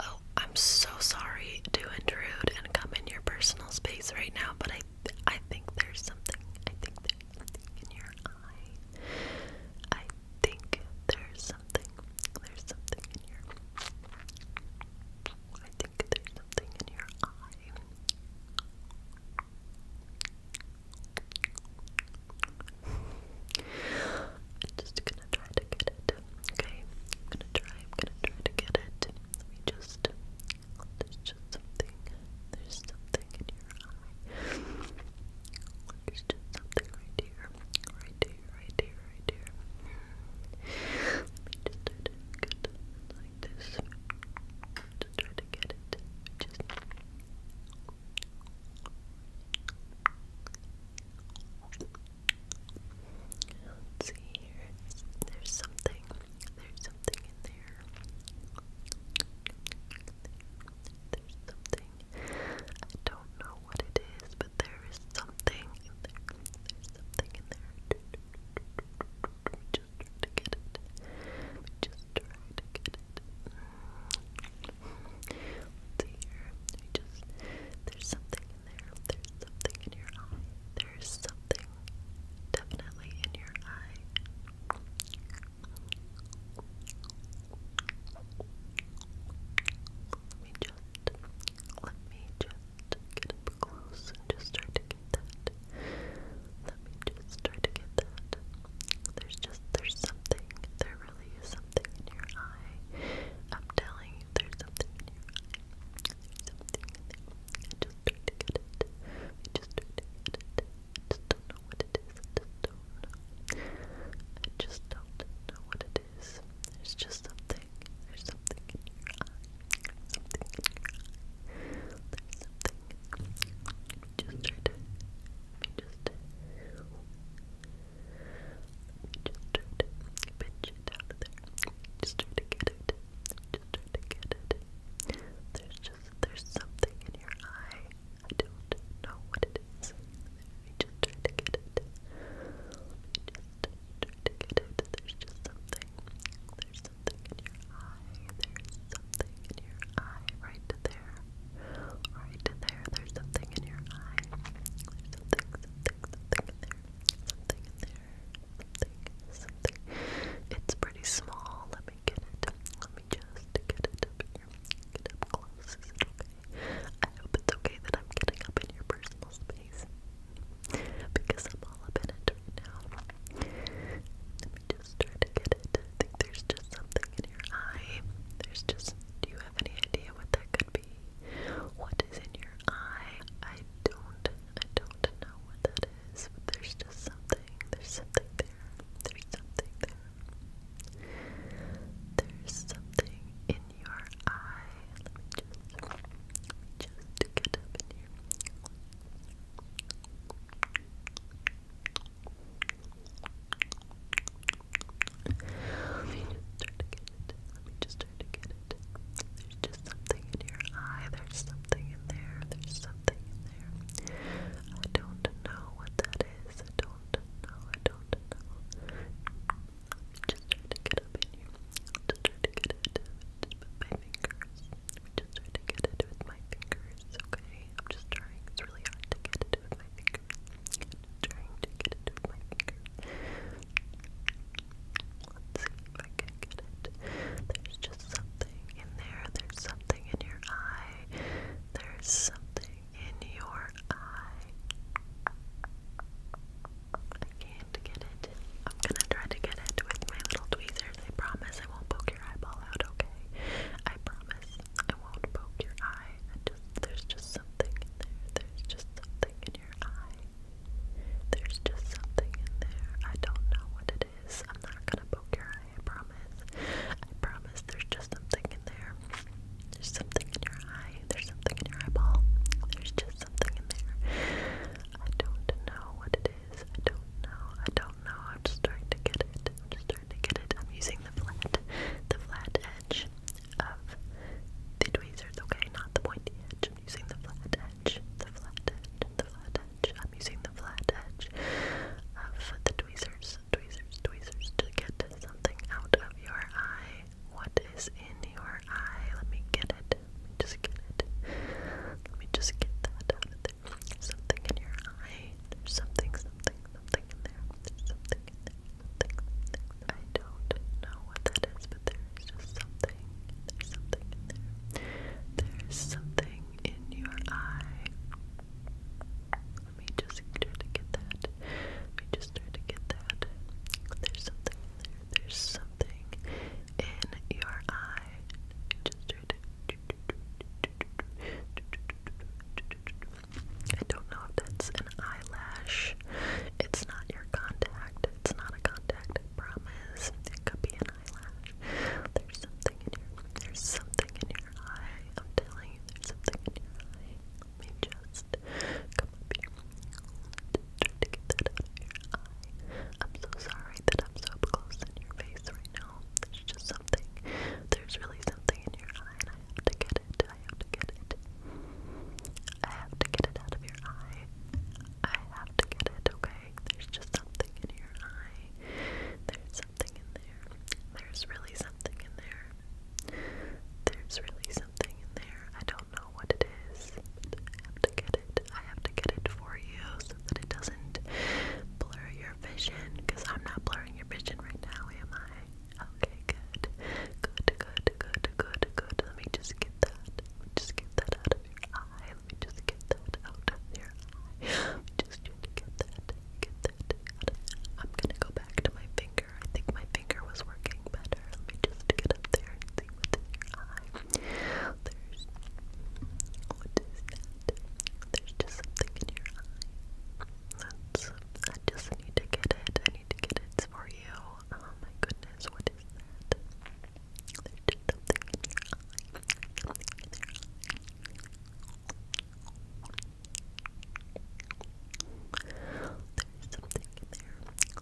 Oh, I'm so sorry to intrude and come in your personal space right now, but I, I think there's something. I think there's something in your eye. I think there's something. There's something in your. I think there's something in your eye. I'm just gonna try to get it it. Okay, I'm gonna try. I'm gonna try to get it. Let just. There's just something. There's something in your eye. There's just something right here. Right here. Right here. Right here. Let me just try to get it like this. Just try to get it. Just. Let's see here. There's something. There's something in there. There's something. I don't know what it is, but there is something There's something in there. Just to get it. Just to get it. Mm. Let's see here. just there's something there. There's something in your eye. There's something definitely in your eye. Let me just, let me just get up close just try to get that. Let me just try to get that. There's just, there's something. There really is something in your eye. I'm telling eye. There's something in your something in there. I just try to get it. I just try to get it. I just don't know what it is. I just don't know. what it is. There's just something. There's something in your something There's something. Just Just. Just try to Just just try to pinch it Just try to get it. Just try to get it. There's just there's something in your eye. I don't know what it is. just try to get it. just try to get it. There's just something. There's something in your eye. There's something in your eye right there. Right there. There's something in your eye. There's something, something in there, something in there, something, something. It's pretty small. Let me get it. Let me just get it up close. Is it okay? I hope it's okay that I'm getting up in your personal space because I'm all up in it right now. Let me just try to get it. there's just something in your eye. There's just. Do you have any idea what that could be? What is in your eye? I don't, I don't know what that is, but there's just something, there's something there, there's something there. There's something in your eye. Let just, let get up in here. Let me just try to get it. Let me just try to get it. There's just something in your eye. There's something in there. There's something in there. I don't know what that is. I don't know. I don't know. just try to get up in here. Just try to get it. with my fingers. am just trying to get it with my fingers. Okay. I'm just trying. It's really hard to get it with my fingers. I can get it. There's just something in there. There's something in your eye. There's something in your eye. I can't get it. I'm gonna try to get it with my little tweezers. I promise I won't poke your eyeball out, okay? I promise I won't poke your eye. I just there's just something in there. There's just something in your eye. There's just something in there. I don't know what it is. I'm not gonna poke your eye, I promise. I promise there's just something in there. There's something in your eye. There's something in your eyeball. There's just something in there. I don't know what it is. I don't know. I don't know. I'm just trying to get it. I'm just trying to get it. I'm using the flat, the flat edge of the tweezers, okay? Not the pointy edge. I'm using the flat edge, the flat edge, the flat edge. I'm using the flat edge of the tweezers, tweezers, tweezers to get something out of your eye. What is in your eye? Let me get it. just get it. Let me just get that out Something in your eye. There's something, something, something in there. There's something in there something, I don't know what that is, but there's just something. There's something in there. There's something in your eye. Let me just try to get that. Let me just try to get that. There's something There's something in your eye. I don't know if that's an eyelash. It's not your contact. It's not a contact, I promise. It could be an eyelash. There's something in your there's something in your eye. I'm telling you, there's something in your eye. Let me just come up here. Just try to get that out of your eye. I'm so sorry that I'm so up close in your face right now. There's just something. There's really something in your eye and I have to get it. I have to get it. I have to get it out of your eye. I have to get it, okay? There's just something in your eye. There's something in there. There's really something in there. There's really something in there. I don't know what it is. I have to get it. I have to get it for you so that it doesn't blur your vision. Because I'm not blurring your vision right now, am I? Okay, good. Good, good, good, good, good. Let me just get that. just get that out of your eye. Let me just get that out of your eye. just to get that. Get that out I'm gonna go back to my finger. I think my finger was working better. Let me just get up there and see your eye. There's what is that? There's just something in your eye. That's I just need to get it. I need to get it for you. Oh my goodness, what is that? There's just something in your eye. Something in your eye. There's something in there.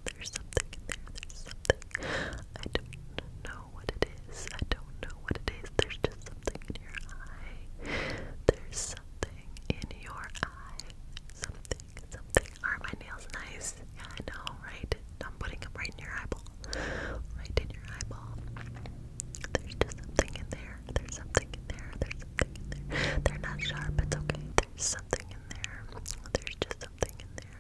There's something in there. There's something. I don't know what it is. I don't know what it is. There's just something in your eye. There's something in your eye. Something are my nails nice? Yeah, I know, right? I'm putting them right in your eyeball. Right in your eyeball. There's something in there. There's something in there. There's something in there. They're not sharp, it's okay. There's something in there. There's just something in there.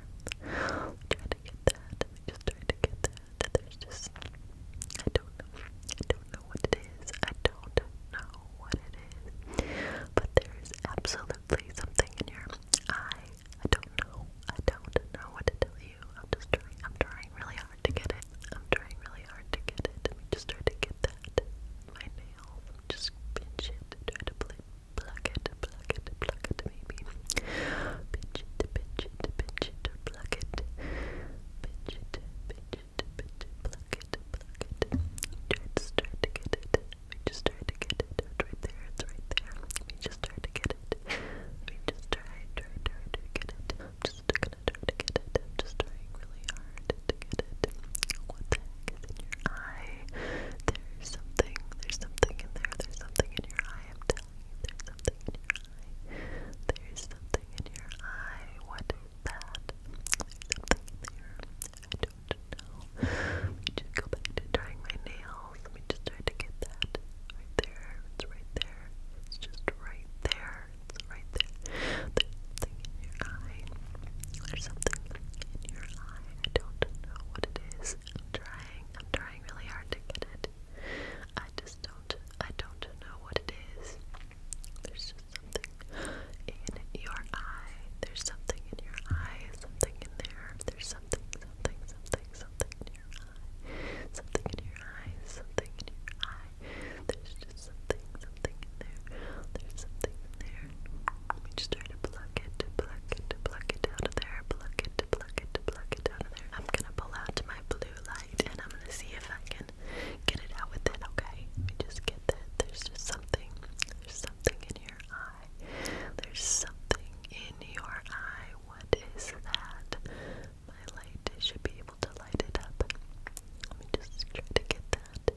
We to get that. just try to get that. There's just I don't know. I don't know what it is. I don't know what it is. But there is absolutely definitely something in here. I I don't know. I don't know what to tell you. I'm just trying. I'm trying really hard to get it. I'm trying really hard to get it. Let me just try to get that. My nails. I'm just pinch it. Try to play, pluck it. Pluck it. Pluck it. Maybe. Pinch it. Pinch it. Pinch it. Or pluck it. Pinch it. Pinch it. Pinch it. Pluck it. Pluck it. Try to start to get it. We just try to get it. It's there. It's there. We just try to get it. We just try, try, try to get it. I'm just gonna to get it. just trying really hard to get it. What the in your eye? There's something. There's something in there. There's something in your eye. I'm telling you. There's something in your eye. There's something in your eye. What is that? There's something in there. I let me just go back to drawing my nails. Let me just try to get that right there. It's right there. It's just right there. It's right there. There's something in your eye. There's something in your eye. I don't know what it is. I'm trying. I'm trying really hard to get it. I just don't. I don't know what it is. There's just something in your eye. There's something in your eye, something in there. There's something, something, something, something in your eye. Something in your eye, something in your eye. There's just something, something in there. There's something in there. Let me just try to pluck it, pluck it, pluck it out of there, pluck it, pluck it, pluck it out of there. I'm gonna pull out my blue light and I'm gonna see if I can get it out with it, okay? Let me just get that. There's just something, there's something in your eye. There's something in your eye. What is that? My light should be able to light it up. Let me just try to get that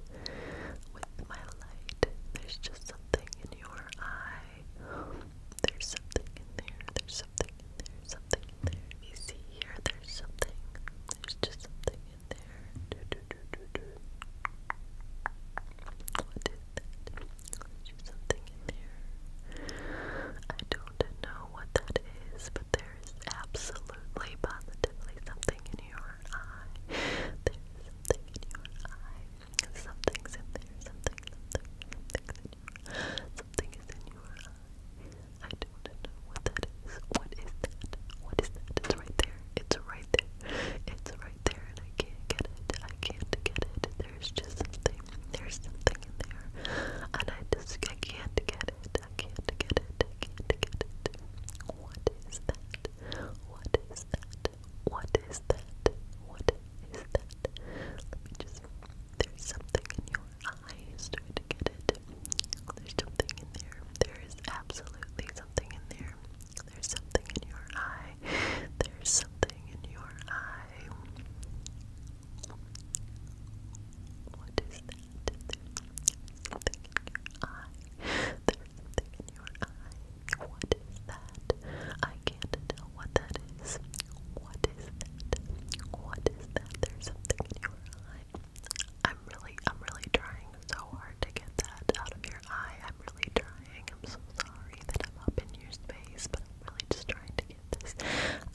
with my light. There's just something in your eye. There's something in there. There's something in there. Something in there. You see here. There's something. There's just something there. Do, do, do, do, do. What is that? There's something in there. I don't know what that is, but there is absolutely, positively something in your eye. There is something in your eye. Something's in there. Something, something, something. Something is in your eye. I don't know what that is. What is that? What is that? It's right there. It's right there. It's right there and I can't get it. I can't get it. There's just something. There's something in there. And I just I can't get it. I can't get it. I can't get it. What is that? What is that? What is that? What is that? Let me just there's something in your eyes. Try to get it. There's something in there. There is absolutely something in there. There's something in your eye. There's something in your eye. What is that? There's something in your eye. There's something in your eye. What is that? I can't tell what that is. What is that? What is that? There's something in your eye. I'm really, I'm really trying so hard to get that out of your eye. I'm really trying. I'm so sorry that I'm up in your space, but I'm really just trying to get this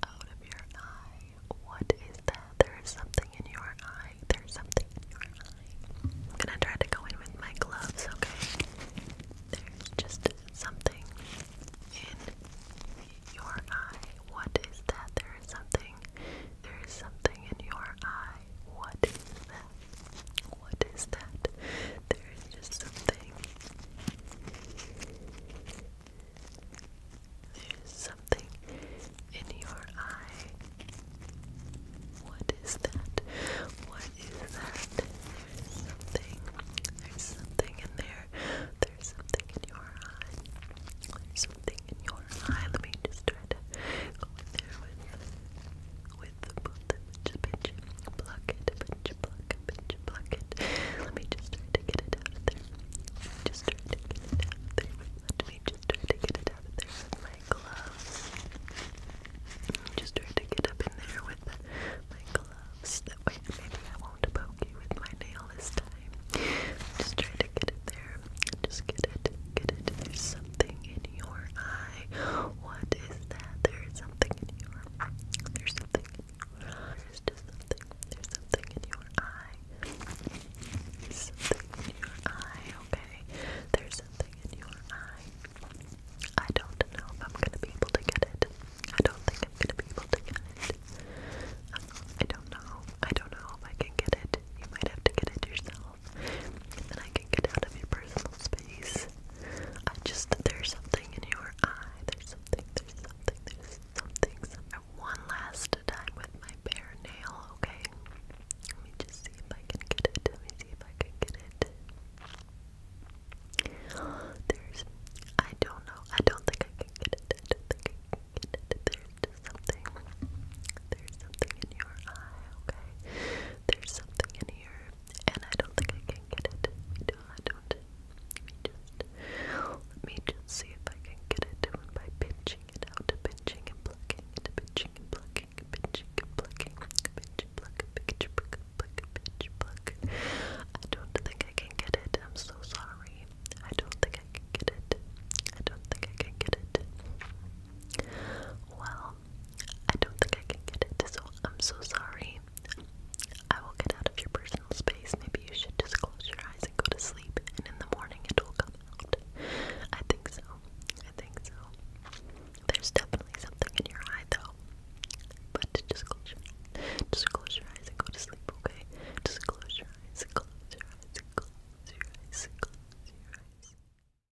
out of your eye. What is that? There is something in your eye. There's something in your eye. I'm gonna try to go in with my gloves, okay? There's just something in your eye. What is that? There is something. There is something in your eye. What is that? What is that? There is just something. There's something in your eye. What is that? What is that? There's something. There's something in there. There's something in your eye. There's something in your eye. Let me just try to there with, with the both just pinch, pluck it, pinch, pluck, pinch, pluck it. Let me just try to get it out of there. Just try to get it out of there. Let me just try to get it out of there my gloves. Just try to get up in there with my gloves. That way maybe I won't poke you with my nail this time. Just try to get it there. Just get it, get it. There's something in your eye. What is that? There is something in your eye. There's something in your eye. There's just something. There's something in your eye. something in your eye, okay? There's something in your eye. I don't know if I'm gonna be able to get it. I don't think I'm gonna be able to get it. Um, I don't know. I don't know if I can get it. You might have to get it yourself then I can get out of your personal space. I just, there's something in your eye, there's something, there's something, there's something, One last time with my bare nail, okay? Let me just see if I can get it, let me see if I can get it. There's, I don't know, I don't think I can get it, I don't think I can get it, there's something there's something in your eye, okay? There's something in here, and I don't think I can get it. We do, I me just, me just see if I can get it by pinching it out, pinching and plucking, pinching and plucking, pinching and plucking, pinch and pluck, pinch pluck, pluck, pinch pluck. I don't think I can get it. I'm so sorry. I don't think I can get it. I don't think I can get it. Well, I don't think I can get it, so I'm so sorry. I will get out of your personal space. Maybe you should just close your eyes and go to sleep, and in the morning it will come out. I think so. I think so. There's definitely something in your eye, though. But just close Just close your eyes and go to sleep, okay? Just Close your eyes. Close your eyes. Close your eyes. Close your eyes.